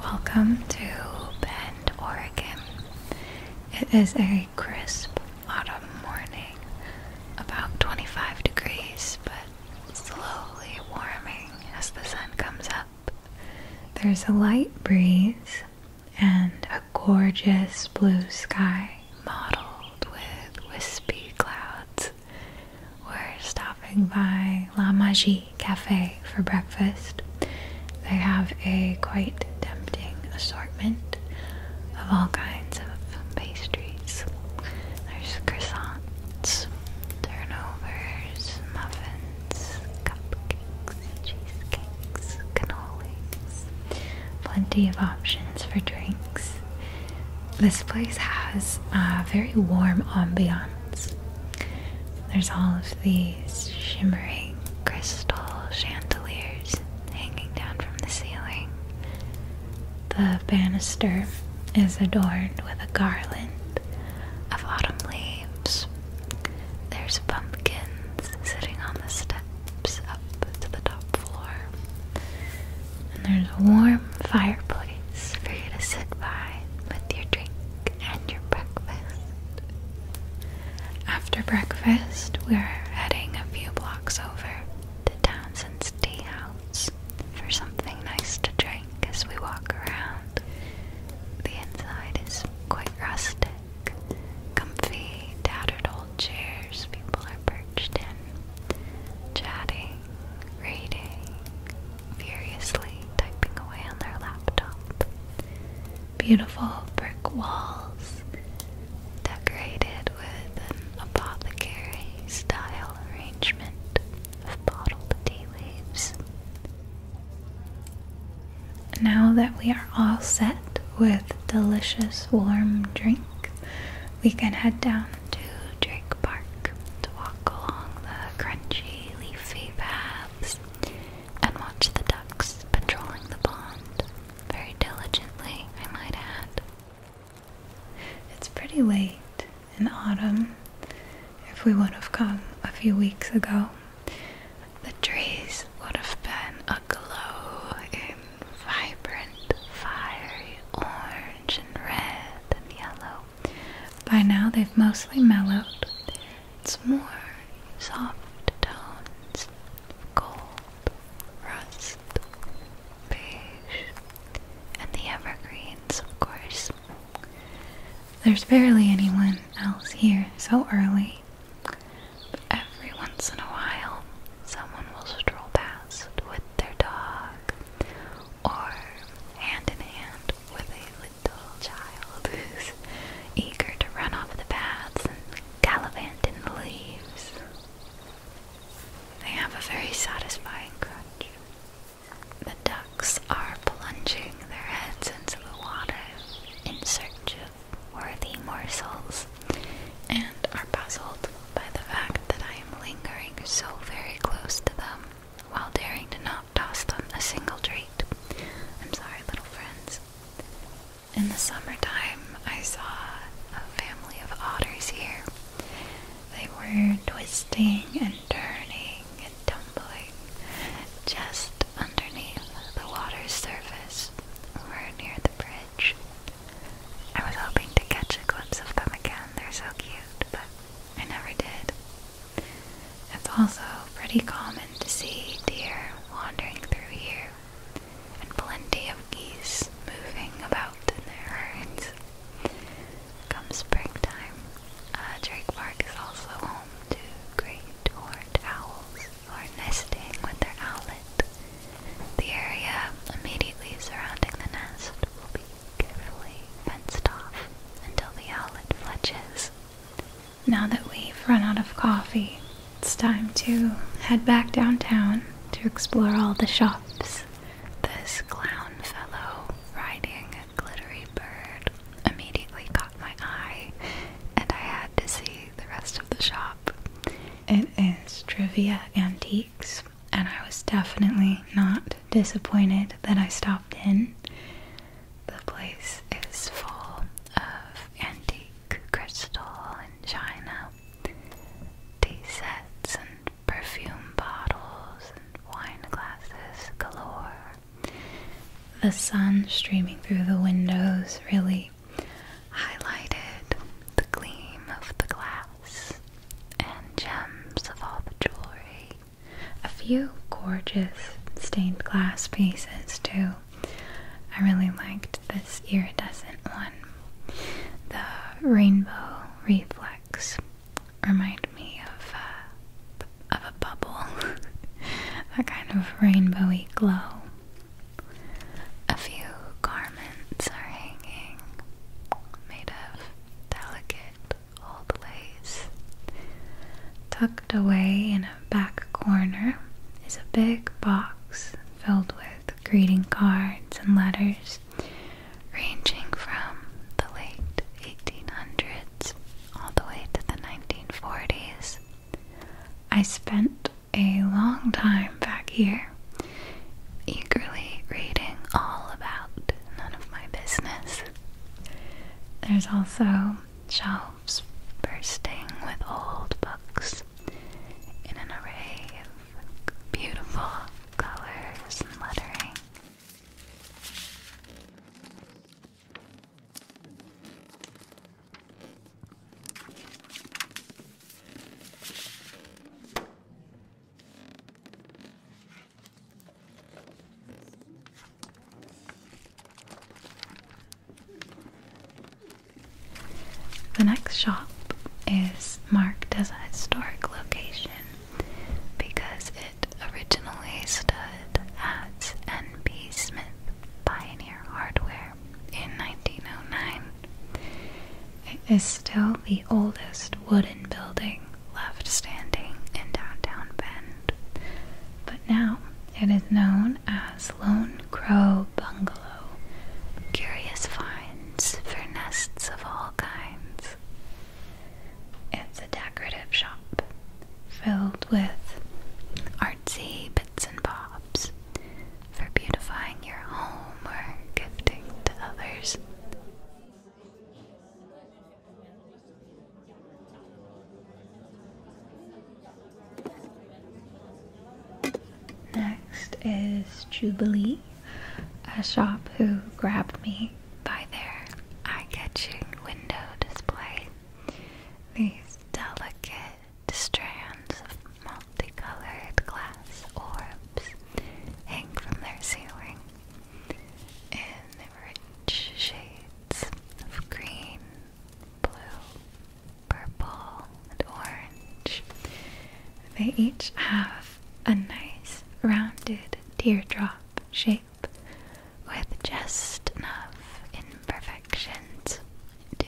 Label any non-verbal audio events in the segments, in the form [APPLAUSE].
Welcome to Bend, Oregon. It is a crisp autumn morning, about 25 degrees, but slowly warming as the sun comes up. There's a light breeze and a gorgeous blue sky mottled with wispy clouds. We're stopping by La Magie cafe for breakfast. They have a quite tempting assortment of all kinds of pastries. There's croissants, turnovers, muffins, cupcakes, cheesecakes, cannolis. Plenty of options for drinks. This place has a uh, very warm ambiance. There's all of these shimmering crystal chandeliers hanging down from the ceiling. The banister is adorned with a garland of autumn leaves. There's pumpkins sitting on the steps up to the top floor. And there's a warm fireplace for you to sit by with your drink and your breakfast. After breakfast, we're heading a few blocks over to Townsend's Tea House for something nice to drink as we walk around. The inside is quite rustic. Comfy, tattered old chairs people are perched in, chatting, reading, furiously typing away on their laptop. Beautiful brick walls decorated with an apothecary style arrangement of bottled tea leaves. Now that we are all set with delicious warm drink, we can head down to Drink Park to walk along the crunchy leafy path and watch the ducks patrolling the pond very diligently, I might add. It's pretty late in autumn. If we would have come a few weeks ago, the trees would have been aglow in vibrant, fiery orange and red and yellow. By now, they've mostly mellowed, it's more soft tones of gold, rust, beige, and the evergreens, of course. There's barely anyone else here so early, every once in a while, someone will stroll past with their dog, or hand in hand with a little child who's eager to run off the paths and gallivant in the leaves. They have a very satisfying crunch. The ducks are plunging their heads into the water in search of worthy morsels and are puzzled by the fact that I am lingering so very close to them while daring to not toss them a single treat. I'm sorry, little friends. In the summertime, I saw a family of otters here. They were twisting and turning and tumbling just underneath the water's surface or near the bridge. I was hoping to catch a glimpse of them again. They're so cute, but I never did. It's also pretty common to see deer wandering through here and plenty of geese moving about in their herds. Come springtime, Drake Park is also home to great horned owls who are nesting with their owlet. The area immediately surrounding the nest will be carefully fenced off until the owlet fledges. Now that we've run out of coffee, it's time to head back downtown to explore all the shops. This clown fellow riding a glittery bird immediately caught my eye, and I had to see the rest of the shop. It is Trivia Antiques, and I was definitely not disappointed that I stopped in. The place is full of antique crystal and china, tea sets and perfume bottles and wine glasses galore. The sun streaming through the windows really highlighted the gleam of the glass and gems of all the jewelry. A few gorgeous stained glass pieces too. I really liked this iridescent one. The rainbow reflex remind me of uh, of a bubble, [LAUGHS] a kind of rainbowy glow. A few garments are hanging, made of delicate old ways. Tucked away in a back corner is a big box filled with greeting cards and letters ranging from the late 1800s all the way to the 1940s. I spent a long time back here, eagerly reading all about none of my business. There's also shelves bursting with old books in an array of beautiful colors and lettering. The next shop is marked as a historic location because it originally stood at N. B. Smith Pioneer Hardware in 1909. It is still the oldest wooden building left standing in downtown Bend, but now it is known as Lone Crow Bungalow. Curious finds for nests of all kinds. It's a decorative shop filled with artsy bits and bobs for beautifying your home or gifting to others. Next is Jubilee, a shop who grabbed me by their eye catching window display. These delicate strands of multicolored glass orbs hang from their ceiling in rich shades of green, blue, purple, and orange. They each have a nice rounded teardrop shape with just enough imperfections to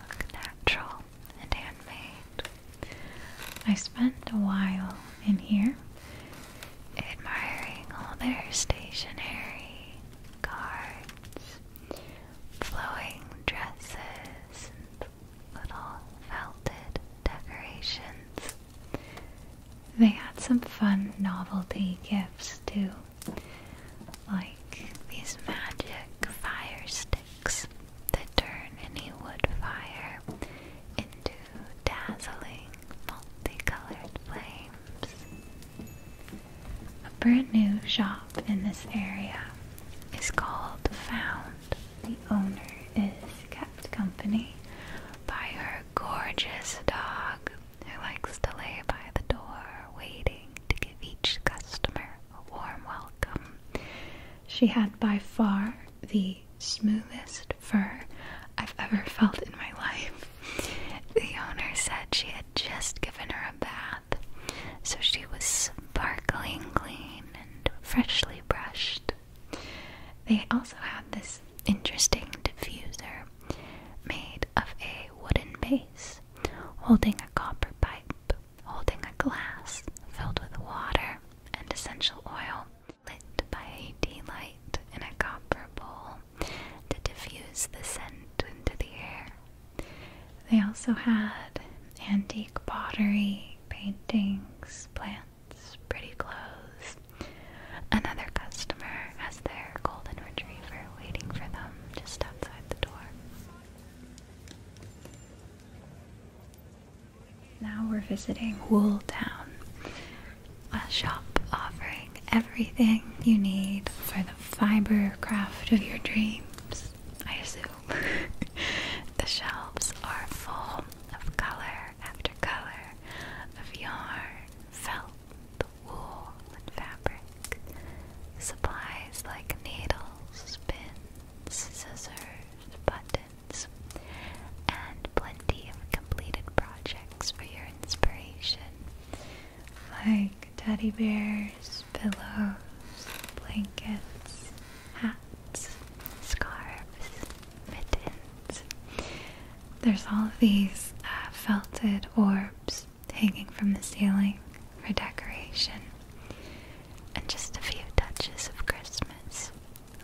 look natural and handmade. I spent a while in here admiring all their stationary cards, flowing dresses, and little felted decorations. They had some fun novelty gifts too, like these magic fire sticks that turn any wood fire into dazzling multicolored flames. A brand new shop in this area is called Found. The owner is kept company by her gorgeous dog who likes to lay by the door waiting to give each customer a warm welcome. She had by far the smoothest softest fur I've ever felt in my life. The owner said she had just given her a bath, so she was sparkling clean and freshly brushed. They also had this interesting diffuser made of a wooden base, holding a copper pipe, holding a glass filled with water and essential oil, lit by a light in a copper bowl to diffuse the scent into the air. They also had antique pottery, paintings, plants, pretty clothes. Another customer has their golden retriever waiting for them just outside the door. Now we're visiting Wool Town a shop offering everything you need for the fiber craft of your dreams, I assume. [LAUGHS] the shelves are full of color after color of yarn, felt, wool, and fabric. Supplies like needles, pins, scissors, buttons, and of completed projects for your inspiration, like teddy bears, pillows, blankets, hats, scarves, mittens. There's all of these uh, felted orbs hanging from the ceiling for decoration. And just a few touches of Christmas,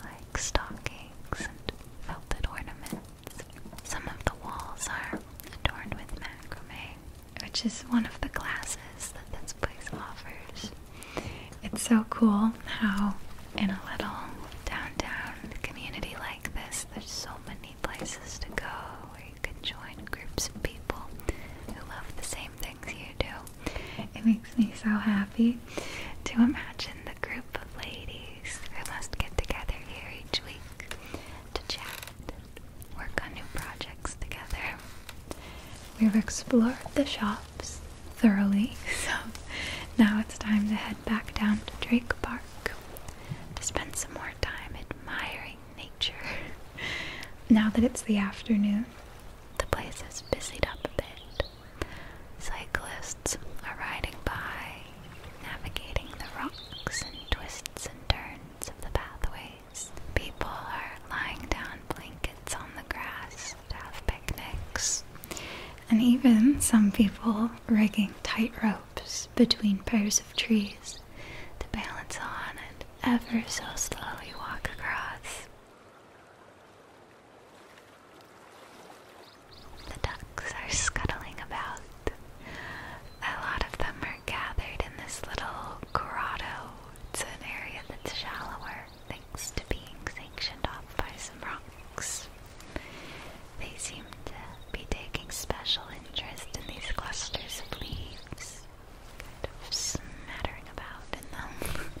like stockings and felted ornaments. Some of the walls are adorned with macrame, which is one of the classes that this place offers. It's so cool how, in a little downtown community like this, there's so many places to go where you can join groups of people who love the same things you do. It makes me so happy to imagine the group of ladies ladies must get together here each week to chat work on new projects together. We've explored the shops thoroughly, [LAUGHS] so now it's time to head back down to Drake Park to spend some more time admiring nature. [LAUGHS] now that it's the afternoon, the place is busied up a bit. Cyclists are riding by, navigating the rocks and twists and turns of the pathways. People are lying down blankets on the grass to have picnics. And even some people rigging tight ropes between pairs of trees to balance on and ever so slowly walk across. The ducks are scuttling about. A lot of them are gathered in this little grotto. It's an area that's shallower thanks to being sanctioned off by some rocks. They seem to be taking special interest in these clusters of leaves, kind of smattering about in them. [LAUGHS]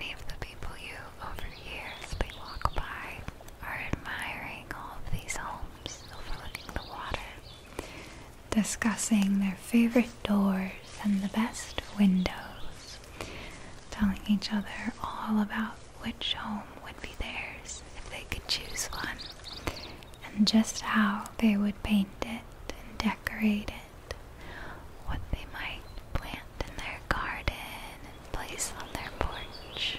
Many of the people you have over years, overhear walk by are admiring all of these homes overlooking the water, discussing their favorite doors and the best windows telling each other all about which home would be theirs if they could choose one, and just how they would paint it and decorate it, what they might plant in their garden and place on their porch.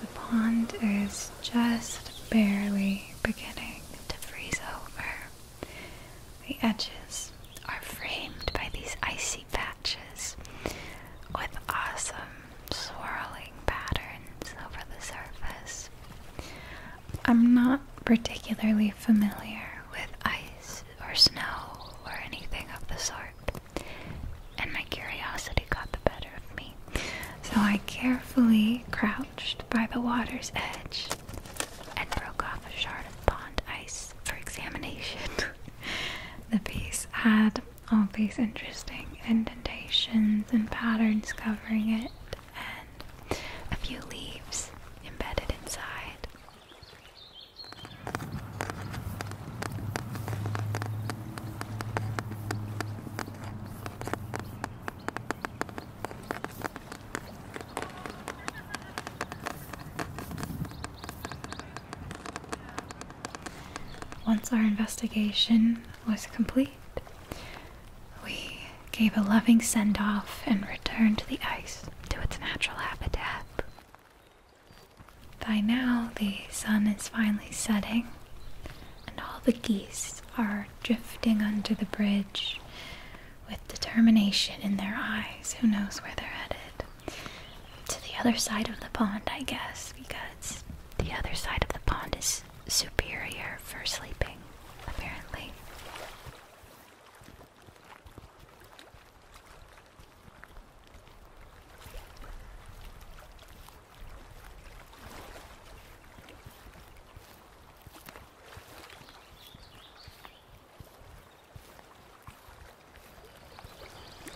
The pond is just barely beginning to freeze over. The edges are framed by these icy patches with awesome swirling patterns over the surface. I'm not particularly familiar with ice or snow or anything of the sort, and my curiosity got the better of me, so I carefully crouched by the water's edge and broke off a shard of pond ice for examination. [LAUGHS] the piece had all these interesting indentations and patterns covering it, and a few leaves embedded inside. Once our investigation was complete, we gave a loving send off and returned the ice to its natural habitat. By now, the sun is finally setting, and all the geese are drifting under the bridge with determination in their eyes. Who knows where they're headed? To the other side of the pond, I guess, because the other side of the pond is superior for sleeping, apparently.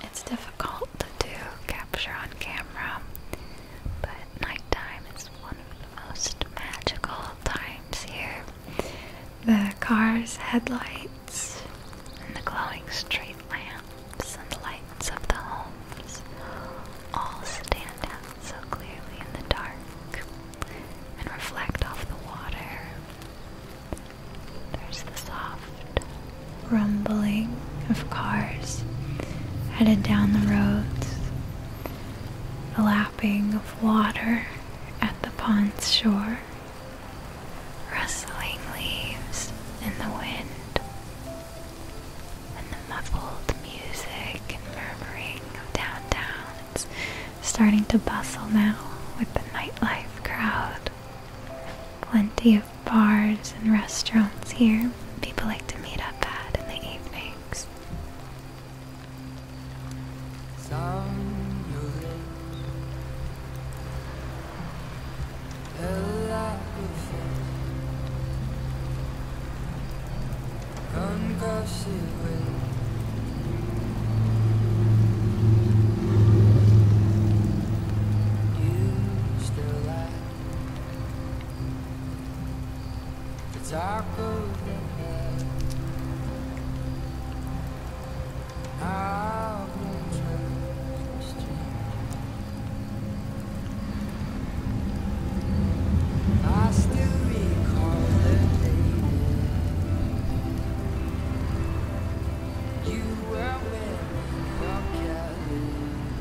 It's definitely difficult to capture on camera, but nighttime is one of the most magical times here. The car's headlights and the glowing street lamps and the lights of the homes all stand out so clearly in the dark and reflect off the water. There's the soft, rumbling of cars headed down the roads, the lapping of water at the pond's shore, rustling leaves in the wind, and the muffled music and murmuring of downtown. It's starting to bustle now with the nightlife crowd. Plenty of bars and restaurants here. People like to meet up at in the evenings. It's our golden head. Our I still recall the day you were with your Kelly.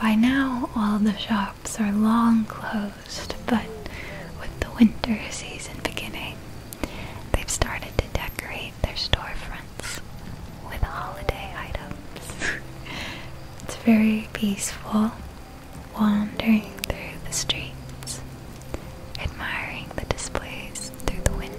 By now, all the shops are long closed, but with the winter season beginning, They've started to decorate their storefronts with holiday items. [LAUGHS] it's very peaceful wandering through the streets, admiring the displays through the windows.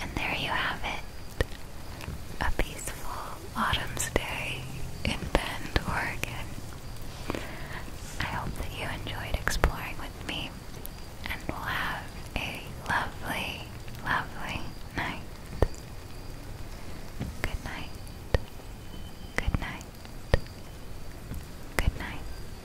And there you have it. A peaceful Autumn's Day in Bend, Oregon. I hope that you enjoyed exploring with me and will have a lovely, lovely night. Good night. Good night. Good night.